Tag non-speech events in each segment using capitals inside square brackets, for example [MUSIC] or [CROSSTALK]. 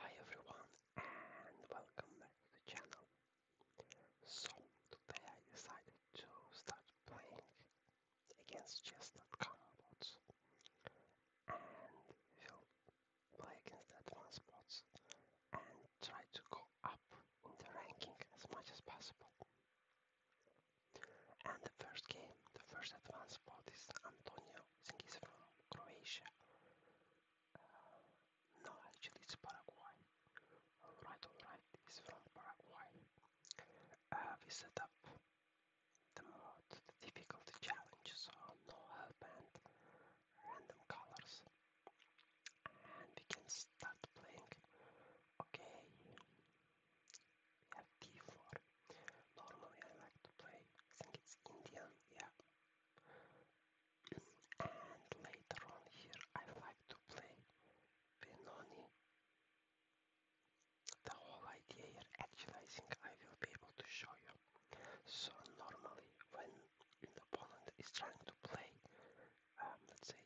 Hi everyone and welcome back to the channel. So today I decided to start playing against chess.com bots and will play against advanced bots and try to go up in the ranking as much as possible. And the first game, the first advanced bot is Antonio Э, I think he's from Croatia. no, actually, it's Paraguay. Alright, alright, he's from Paraguay. we set up the mod, the difficulty challenge, so no hellbent, random colors. And we can start playing. Okay, we have D4. Normally I like to play, I think it's Indian, yeah, and later on here I like to play Benoni. The whole idea here, actually I think I will be able to show you. So normally when the opponent is trying to play, um, let's say,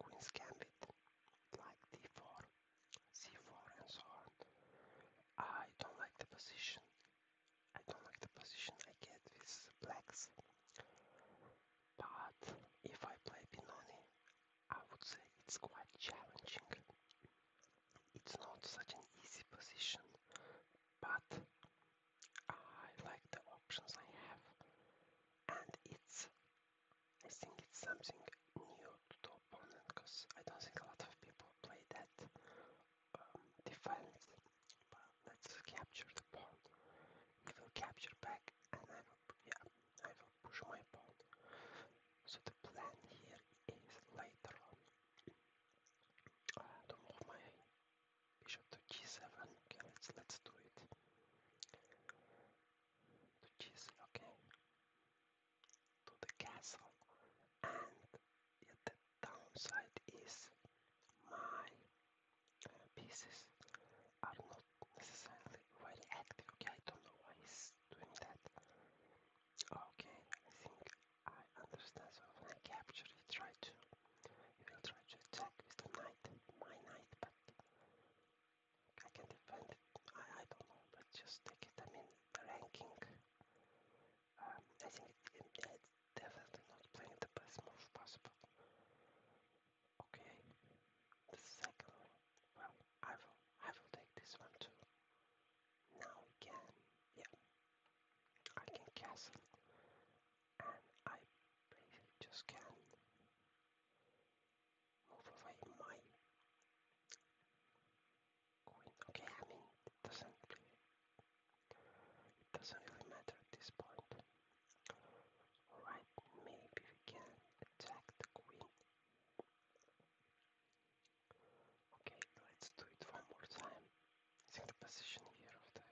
Queen's Gambit, like d4, c4 and so on, I don't like the position. I don't like the position I get with blacks. But if I play Pinoni, I would say it's quite challenging. It's not such an easy position, but I like the options I have, and it's I think it's something new to the opponent because I don't think a lot of people play that defense, but let's capture the pawn. He will capture back and I will, yeah, I will push my pawn. So the plan here is later on uh, to move my bishop to g7. Okay, let's, let's do it. To g7, okay to the castle and the downside is my pieces are not necessarily very active. Okay, I don't know why he's doing that. Okay, I think I understand. So when I capture, he try to he will try to attack with the knight, my knight, but I can defend it. I don't know, but just take it. I mean, the ranking I think it's definitely not playing the best move possible. Okay, the second one. Well, I will, I will take this one too. Now we yeah, I can castle, and I basically just can move away my quit. Okay, I mean doesn't it doesn't really matter at this point. Alright, maybe we can attack the queen. Okay, let's do it one more time. think the position here of the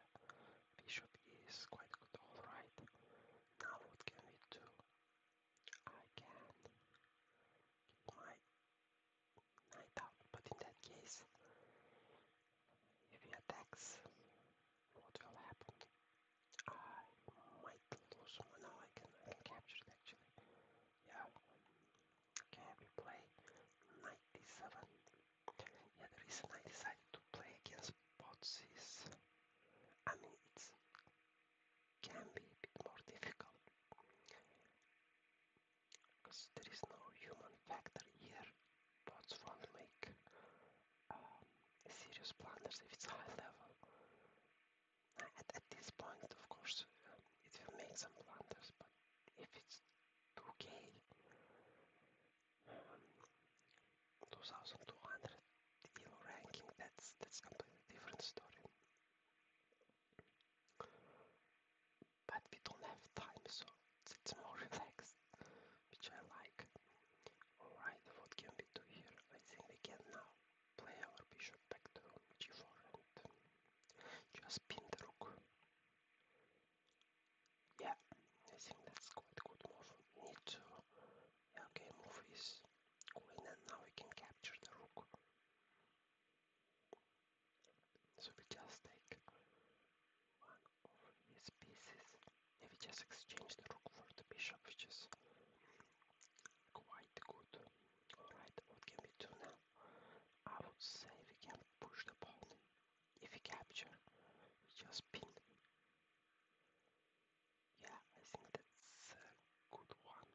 bishop is quite good, alright. Now what can we do? I can keep I thought, but in that case, if he attacks, what will happen? I might lose one. I can, capture it actually. Yeah. Okay, we play 97. Yeah, the reason I decided to play against bots is, I mean, it can be a bit more difficult because there is no human factor here. Bots won't make um, serious blunders if it's high level. At, at this point, of course, it will make some blunders, but if it's 2k, um, 2200 elo ranking, that's that's completely different story but we don't have time, so it's more [LAUGHS] relaxed, which I like. Alright, what can we do here? I think we can now play our bishop back to g4 and just pin the rook. Yeah, I think that's quite good move. need to. okay, move is queen, and now we can capture the rook. So we just take one of these pieces and we just exchange the rook for the bishop, which is quite good. Alright, what can we do now? I would say we can push the pawn. If we capture, we just pin. Yeah, I think that's a good one.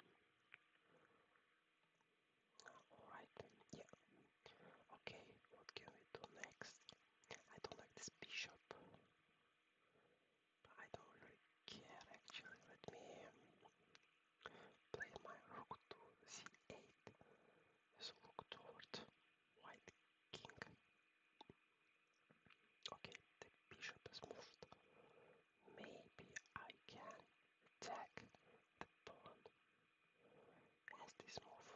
Alright, yeah. Okay, what can we do next? I don't like this bishop. I don't really care actually. Let me play my rook to c8. So look toward white king. Okay, the bishop is moved. Maybe I can attack the pawn has this move.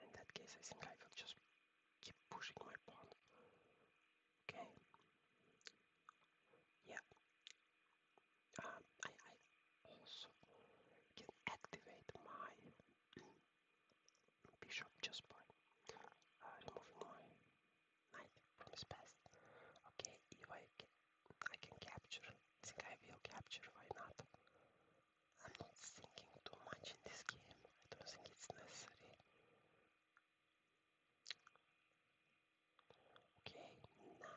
In that case, I think I will just keep pushing my pawn. Okay. Yeah. Um, I, I also can activate my bishop just by uh, removing my knight from his path. Okay, if I can capture. think I will capture, why not? I'm not thinking too much in this game. I don't think it's necessary. Okay, now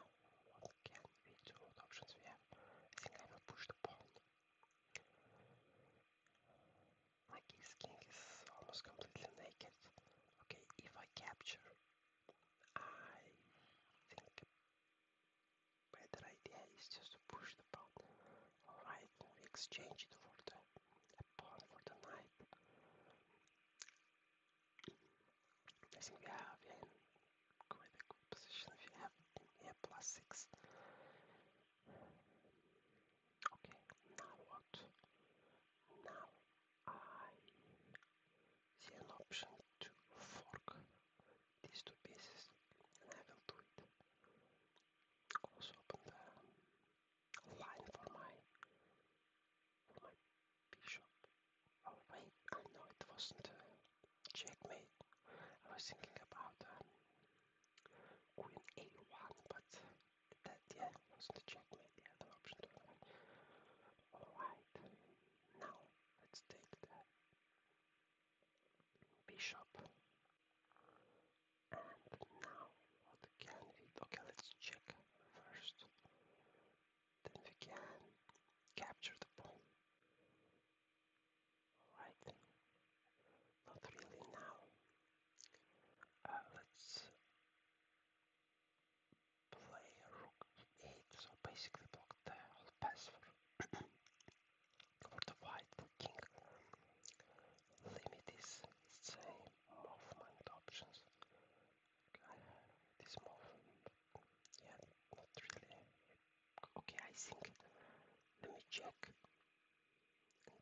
what can we do? What options we have? I think I will push the pawn. My skin is almost completely naked. Okay, if I capture, I think Better idea is just to push the pawn. Alright, we exchange it for the pawn for the knight. I we have a good position if you have yeah, plus six. Okay, now what? Now I see an option to fork these two pieces and I will do it. Also open the line for my for my bishop. Oh wait, I oh, know it wasn't checkmate. I was thinking about um, queen a1, but that yeah wasn't checkmate. The other option All right, now let's take the bishop. And now what can we okay let's check first. Then we can capture the pawn. Alright. Not really now. Uh, let's play rook 8, so basically block the whole pass for for the white king limit is same movement options this movement yeah not really okay I think let me check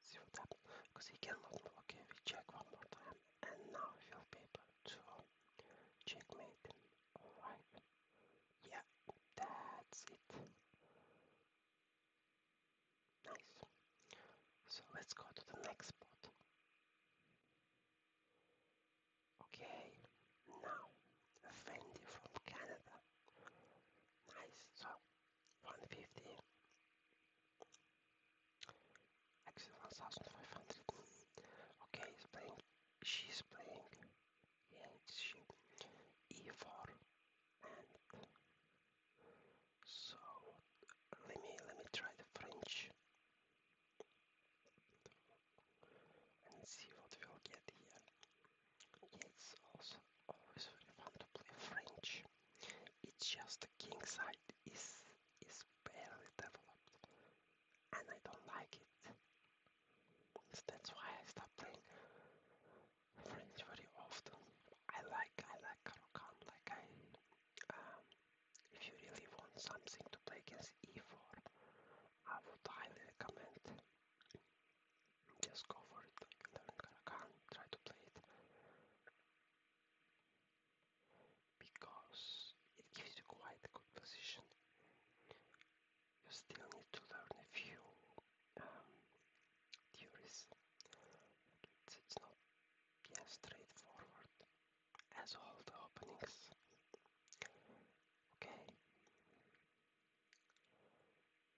see what happens because he cannot okay we check one more time and now he'll be to checkmate Alright. Yeah, that's it. Nice. So let's go to the next spot. Okay, now Fendi from Canada. Nice, so 150. Actually 1500. Okay, she's playing H E for and so let me let me try the French and see what we'll get here. It's also always very fun to play French. It's just the king side is is barely developed and I don't like it. So that's why I stopped playing Friends very often. I like I like Karokan, like I um, if you really want something to play against E4, I would highly recommend just go for it, like learn Karokan, try to play it. Because it gives you quite a good position you still need to learn a few um, theories. It's, not yeah, straightforward as all the openings. Okay.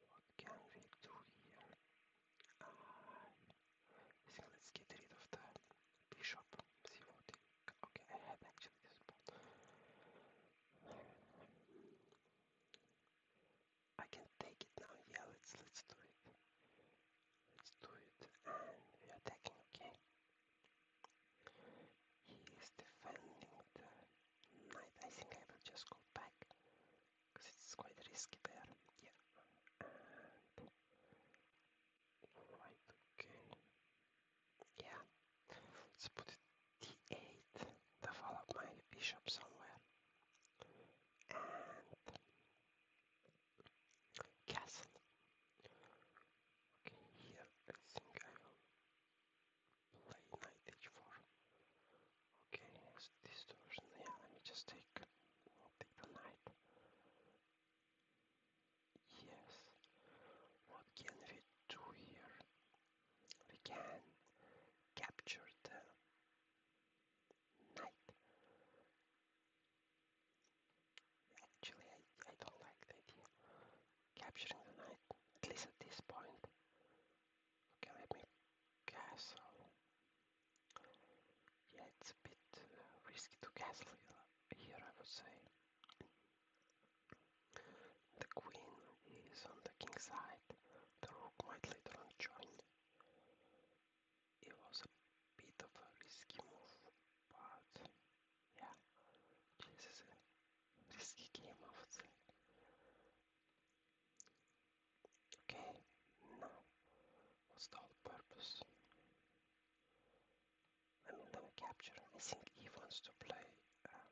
What can we do here? Uh, I think let's get rid of the bishop. See what okay, I had actually this I can take it now. Yeah, let's let's do it. Let's do it. And we're attacking. Okay. He is defending the knight. I think I will just go back because it's quite risky there. Yeah. And Okay. Yeah. Let's put d8, develop my bishop somewhere. And castle. Okay, here I think I will play knight h4. Okay, this version, yeah, let me just take, take the knight. Yes, what can we do here? we can capture the night. Actually, I, I don't like the idea. Capturing the night, at least at this point. Okay, let me castle. Yeah, it's a bit uh, risky to castle here, I would say. The queen is on the king's side. The rook might later on join. It was a bit of a risky move, but yeah, this is a risky game, I Okay, now, what's the whole purpose? I mean, I'm I think he wants to play um,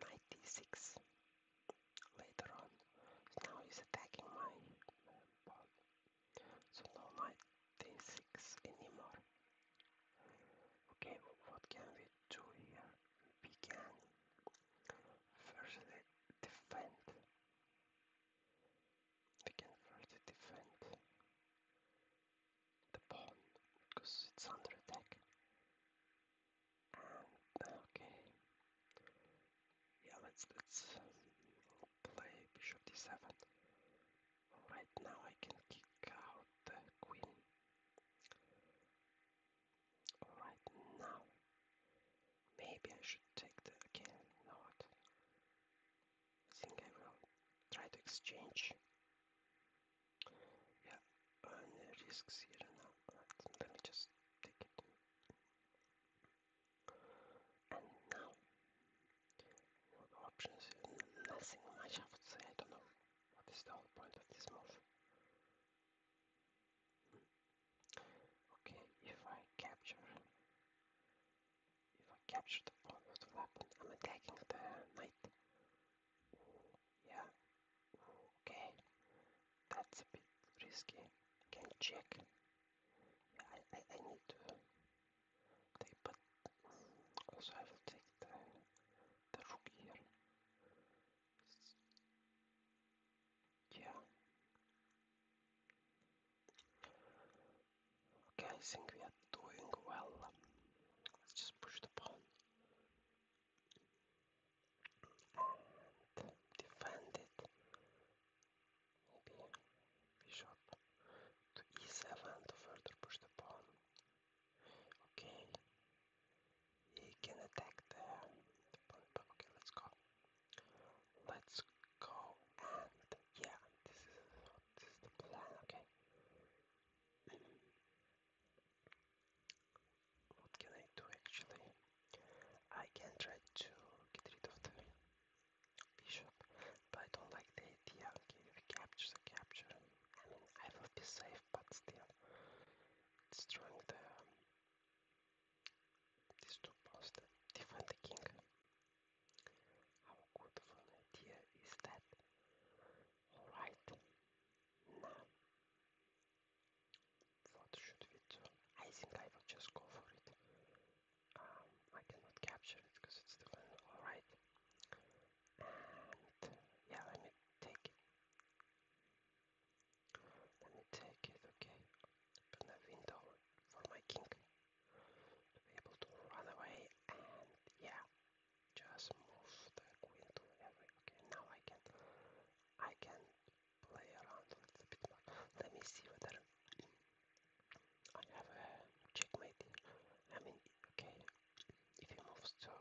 96. later on. Now he's attacking my pawn. So no knight anymore. Okay, what can we do here? We can firstly defend. We can first defend the pawn because it's under attack. okay, yeah, let's let's um, play bishop d7. Right now I can kick out the queen. Alright now, maybe I should take the again. You I think I will try to exchange yeah, risks here now. let me just take it. And now, what options? Nothing much, I would say. I don't know. What is the whole point of this move? Okay, if I capture, if I capture the pawn, what will happen? I'm attacking the knight. Yeah. Okay. That's a bit risky. Can check. I, I, need to take, but I will take the, the rook here. Yeah. Okay, I think we are doing well. Let's just push the pawn defend it. Maybe bishop to e7 to further push the pawn. Okay, he can attack the, pawn. Okay, let's go. Let's go and yeah, this is the plan. Okay. What can I do actually? I can try to get rid of the bishop, but I don't like the idea. Okay, if he captures a capture, I mean, I will be safe, but still, destroying the um, these two posts, defend the king. How good an idea is that? Alright, now what should we do? I think I will just go for it. Um, I cannot capture it because it's the one. Alright. And yeah, let me take it. Let me take it, okay. Open a window for my king to be able to run away and yeah, just move the queen to every. Okay, now I can, I can play around with the bit more. Let me see whether I have a checkmate. I mean, okay, if he moves to,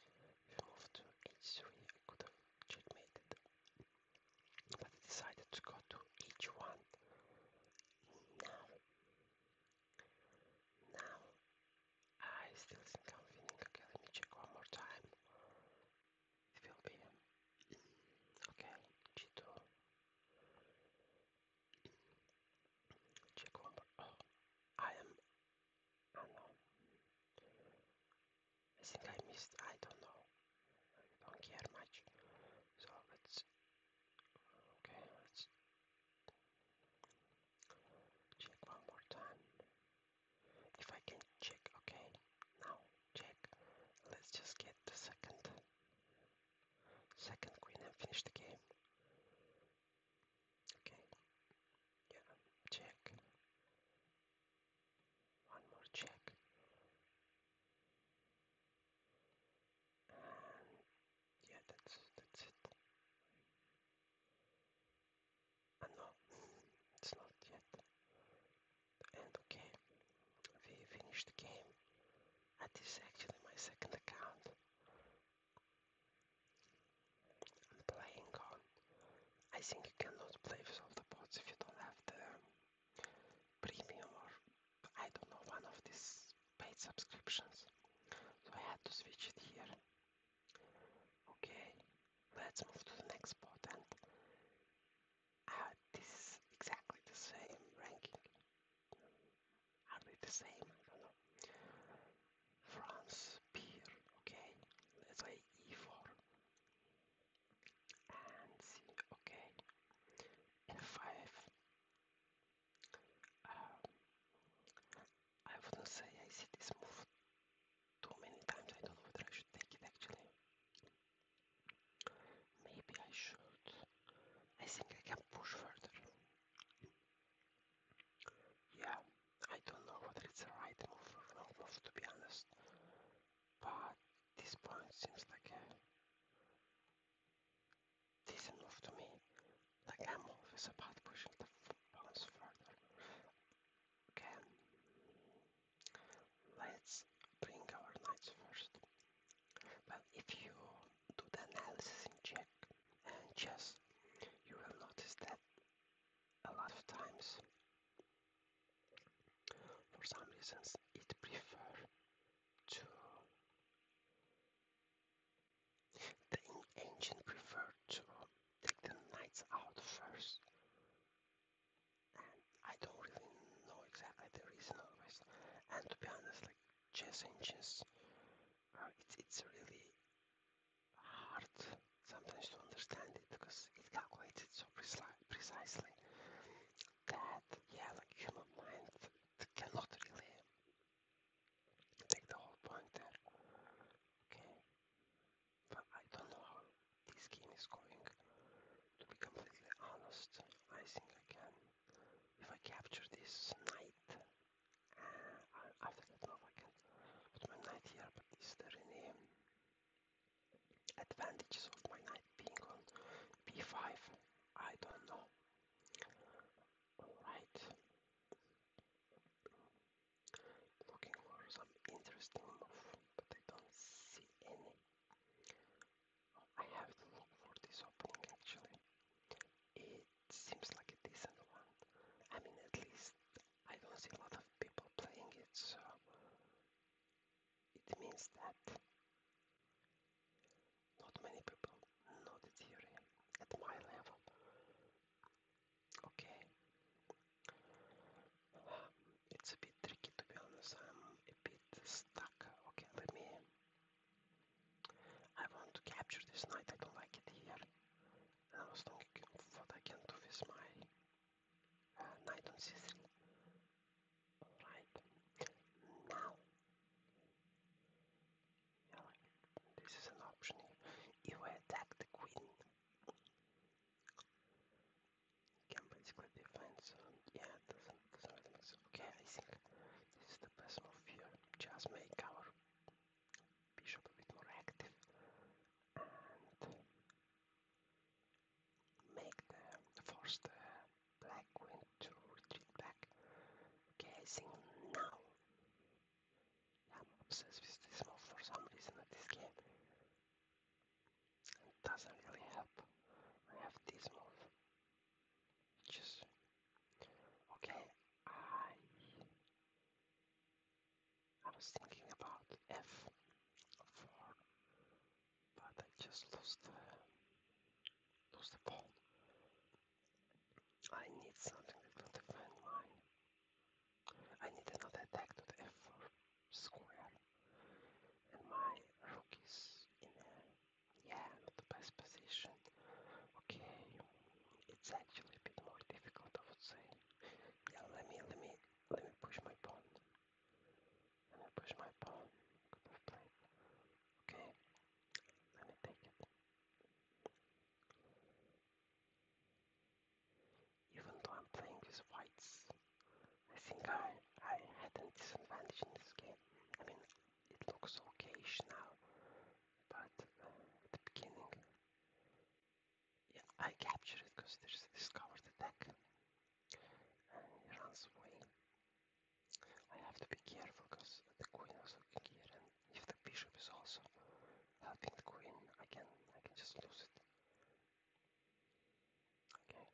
if he moves to h3, I could have checkmated, but he decided to go to h1. Now, now I still think I'm Okay, let me check one more time. It will be okay. 2 Check one more. Oh, I am. Oh no. I think I missed. I don't know. I don't care much. So let's. Okay, let's check one more time. If I can check, okay, now check. Let's just get the second, second queen and finish the game. Okay, yeah, check. One more check. And yeah, that's that's it i ah, It's not yet end. Okay, we finished the game. And actually my second account. I'm playing on. I think you cannot play with all the bots if you don't have the um, premium or I don't know one of these paid subscriptions. So I had to switch it here. Okay, let's move to the next spot and ah, this is exactly the same ranking. Are they the same? I don't know. France, beer, okay. Let's say E4. And C, okay. F5. Um, I wouldn't say I see this move too many times. I don't know whether I should take it actually. Maybe I should. I think I can push further. Yeah, I don't know whether it's a right move or wrong move to be honest. But this point seems like a move to me. Like I'm always about pushing the bounce further. Okay. Let's bring our knights first. Well, if you do the analysis check and chess, you will notice that a lot of times, for some reasons, it prefer to the ancient prefer to take the knights out first. I don't really know exactly the reason always. And to be honest, like chess and uh, it's, it's really hard sometimes to understand it because it calculates it so precisely that, yeah, like human mind cannot really take the whole point there. Okay, I don't know how this game is going. To be completely honest, I think I can. If I capture this knight, after that, now I can my knight here. But is there any advantages of my knight being on b5? I don't know. Alright looking for some interesting move, but I don't see any. I have to look for this opening actually. It seems like a decent one. I mean, at least I don't see a lot of people playing it, so it means that not many people know the theory at my level. Okay. It's a bit tricky to be honest. I'm a bit stuck. Okay, let me. I want to capture this knight. I don't like it here. I was thinking what I can do with my knight uh, on c3. Right now, this is an option. If I attack the queen, can basically defend, so yeah, doesn't, doesn't Okay, I think this is the best move here. Just make our bishop a bit more active and make the force black queen to retreat back. Okay, I think now I'm obsessed with this move for some reason at this game. It doesn't really help. I have this move. Just okay. I I was thinking about F four, but I just lost lost the ball. I need something that will defend my I need another attack to the f4 square. And my rook is in yeah, not the best position. Okay, it's actually a bit more difficult, I would say. Yeah, let me, let me, let me push my pawn. Let me push my pawn. Okay, let me take it. Even though I'm playing with whites, I think I, I had a disadvantage in this game. I mean, it looks okayish now, but uh, at the beginning, I captured it because there's a discovered attack, and he runs away. I have to be careful because the queen was looking here, and if the bishop is also helping the queen, I can I can just lose it. Okay.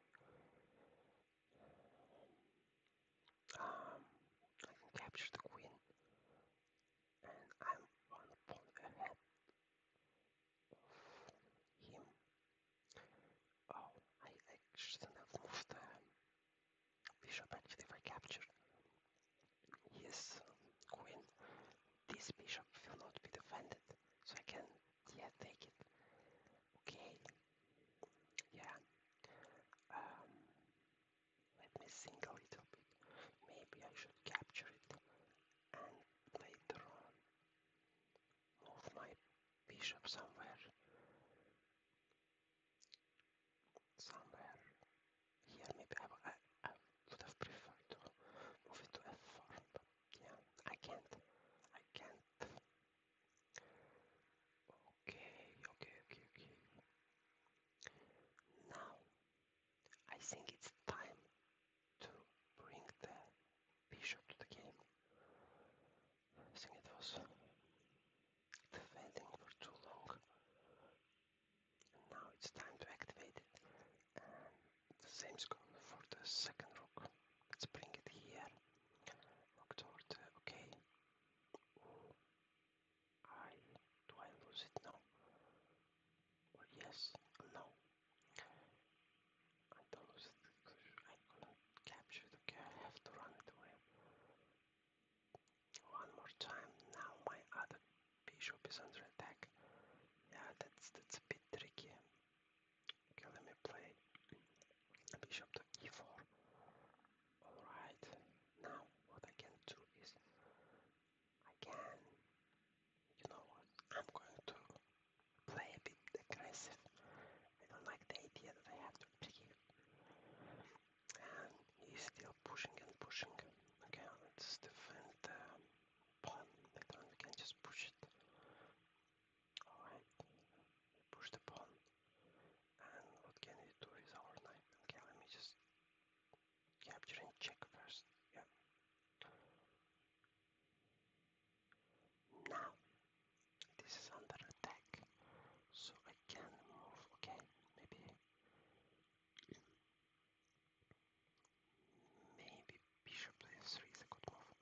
Um, I can capture the queen, and I'm one pawn ahead of him. Oh, I, I should have moved the bishop actually if I captured his queen. This bishop will not be defended so I can, yeah, take it. Okay, yeah. Um, let me think a little bit. Maybe I should capture it and later on move my bishop somewhere. Somewhere here, maybe I, would have preferred to move it to f4, yeah, I can't. I can't. Okay, okay, okay, okay. Now, I think it's time to bring the bishop to the game. I think it was defending for too long. now it's time to activate it the same is score for the second rook. Let's bring it here. Rook toward, okay. do I lose it now? yes? No. I don't lose it because I couldn't capture it. Okay, I have to run it away. One more time. Now my other bishop is under attack. Yeah, that's that's a bit tricky. Okay, let me play bishop to e4. Alright, now what I can do is I can, you know what, I'm going to play a bit aggressive. I don't like the idea that I have to pick And he's still pushing and pushing. Okay, let's defend. Um, button we can just push it alright push the pawn and what can we do with our knight okay let me just capture and check first yeah now this is under attack so I can move okay maybe Maybe bishop to f3 is a good move.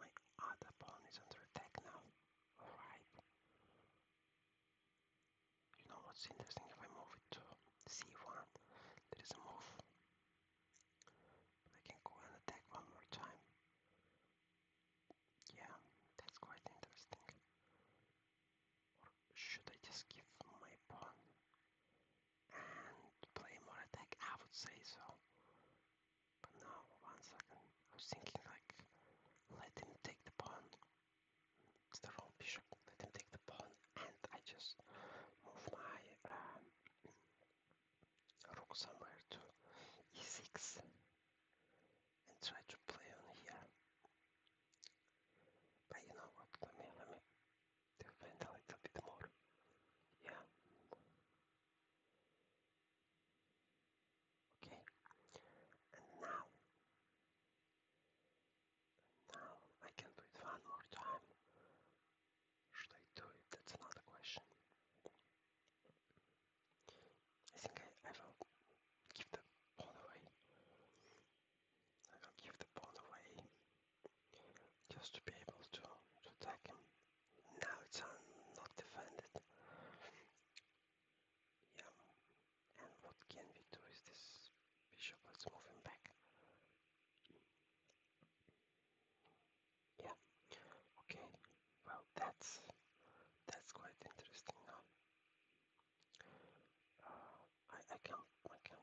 My other pawn is under attack now. Alright. You know what's interesting? If I move it to c1, there is a move. I can go and attack one more time. Yeah, that's quite interesting. Or should I just give my pawn and play more attack, I would say so. But now, one second, I was thinking like, let him take the pawn. It's the wrong bishop, let him take the pawn, and I just move my um, rook somewhere to e6 and try to play on here. But you know what, let me, let me Defend a little bit more. Yeah. Okay. And now. now I can do it one more time. Should I do it? That's another question. I think I, I will give the pawn away. I will give the pawn away just to be able to, to attack him. Now it's uh, not defended. Yeah, and what can we do is this bishop, let's move him back. Yeah, okay, well that's, that's quite interesting now. Uh, I, I can I can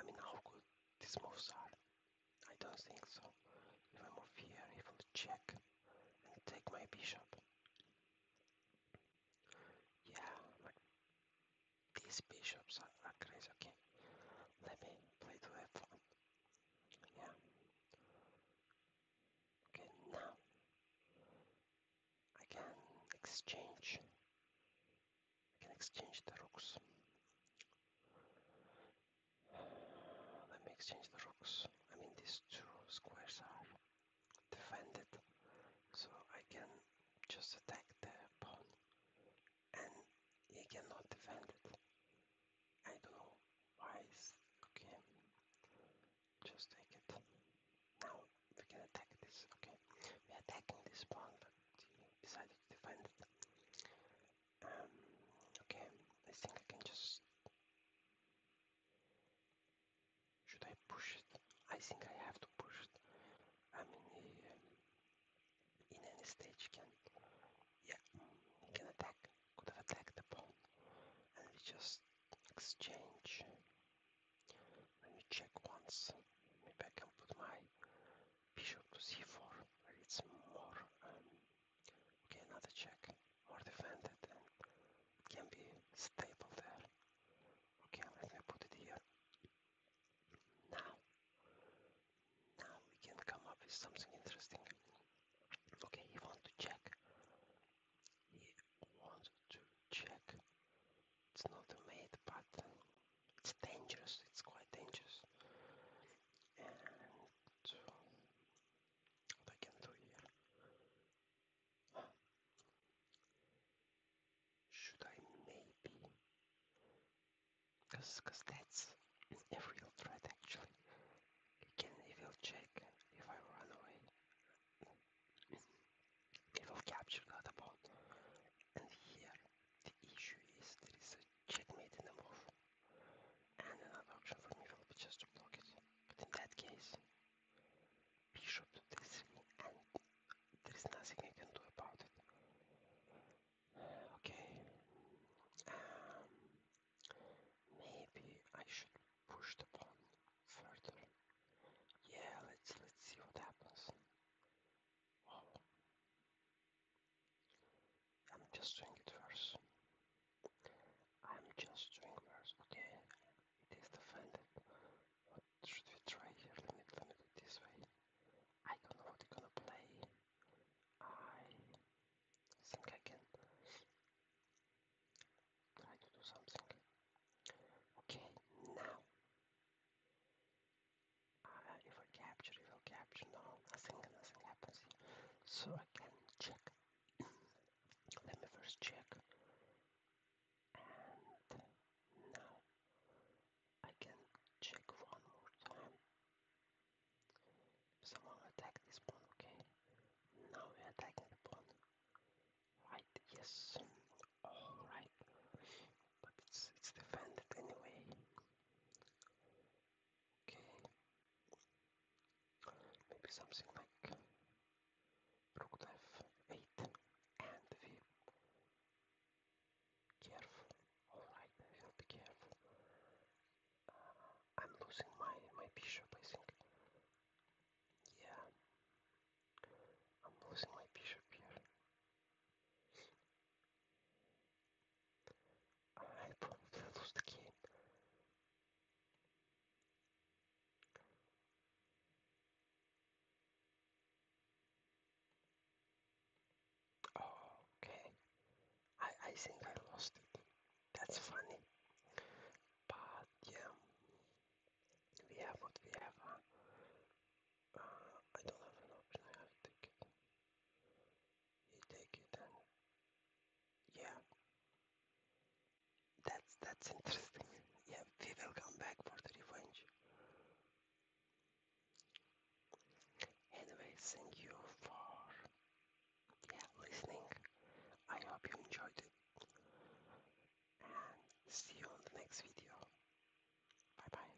I mean, how good these moves are. I don't think so. If I move here, he will check and take my bishop. Yeah, like these bishops are crazy. Okay, let me play to f1. Yeah. Okay, now I can exchange I can exchange the rooks. Let me exchange the rooks. I mean, these two squares are defended, so I can just attack the pawn and he cannot defend it. I don't know why okay. Just take it. Now we can attack this. Okay, we're attacking this pawn, he decided to defend it. Um, okay, I think I can just... Should I push it? I think I have to push it. I mean, he, um, in any stage can... Yeah, he can attack. Could have attacked the pawn. And we just exchange. Let me check once. Maybe I can put my bishop to c4 it's more um, okay another check more defended it can be stable there okay let me put it here now now we can come up with something interesting okay he wants to check he wants to check it's not a mate but it's dangerous, it's quite dangerous. what I can do here? Should I maybe? Cause, cause that's a real threat actually. can it will check if I run away. It will capture that about and here the issue is there is a checkmate in the move. And another option for me will be just to block it. But in that case, bishop to d3 and there is nothing I can do about it. Okay. Um, maybe I should push the pawn further. Yeah, let's let's see what happens. I'm just doing it first. I'm just doing first. Okay, it is defended. What should we try here? Let me limit it this way. I don't know what you're gonna play. I think I can try do something. Okay, now uh, if I capture, if I capture, nothing, nothing happens So I can check. [CLEARS THROAT] Let me first check. And now I can check one more time. Someone attack this pawn, okay? Now we attacking the pawn. Right, yes. Alright. But it's it's defended anyway. Okay. Maybe something like rook to f and v. Careful. Alright, be careful. Uh, I'm losing my, my bishop, I think. Yeah. I'm losing my bishop here. I think I lost it. That's funny. But yeah, we have what we have. Huh? Uh, I don't have an option. I have to take it. You take it yeah. That's that's interesting. [LAUGHS] Yeah, we will come back for the revenge. Anyway, thank you for yeah, listening. I hope you enjoyed it. And see you on the next video. Bye bye.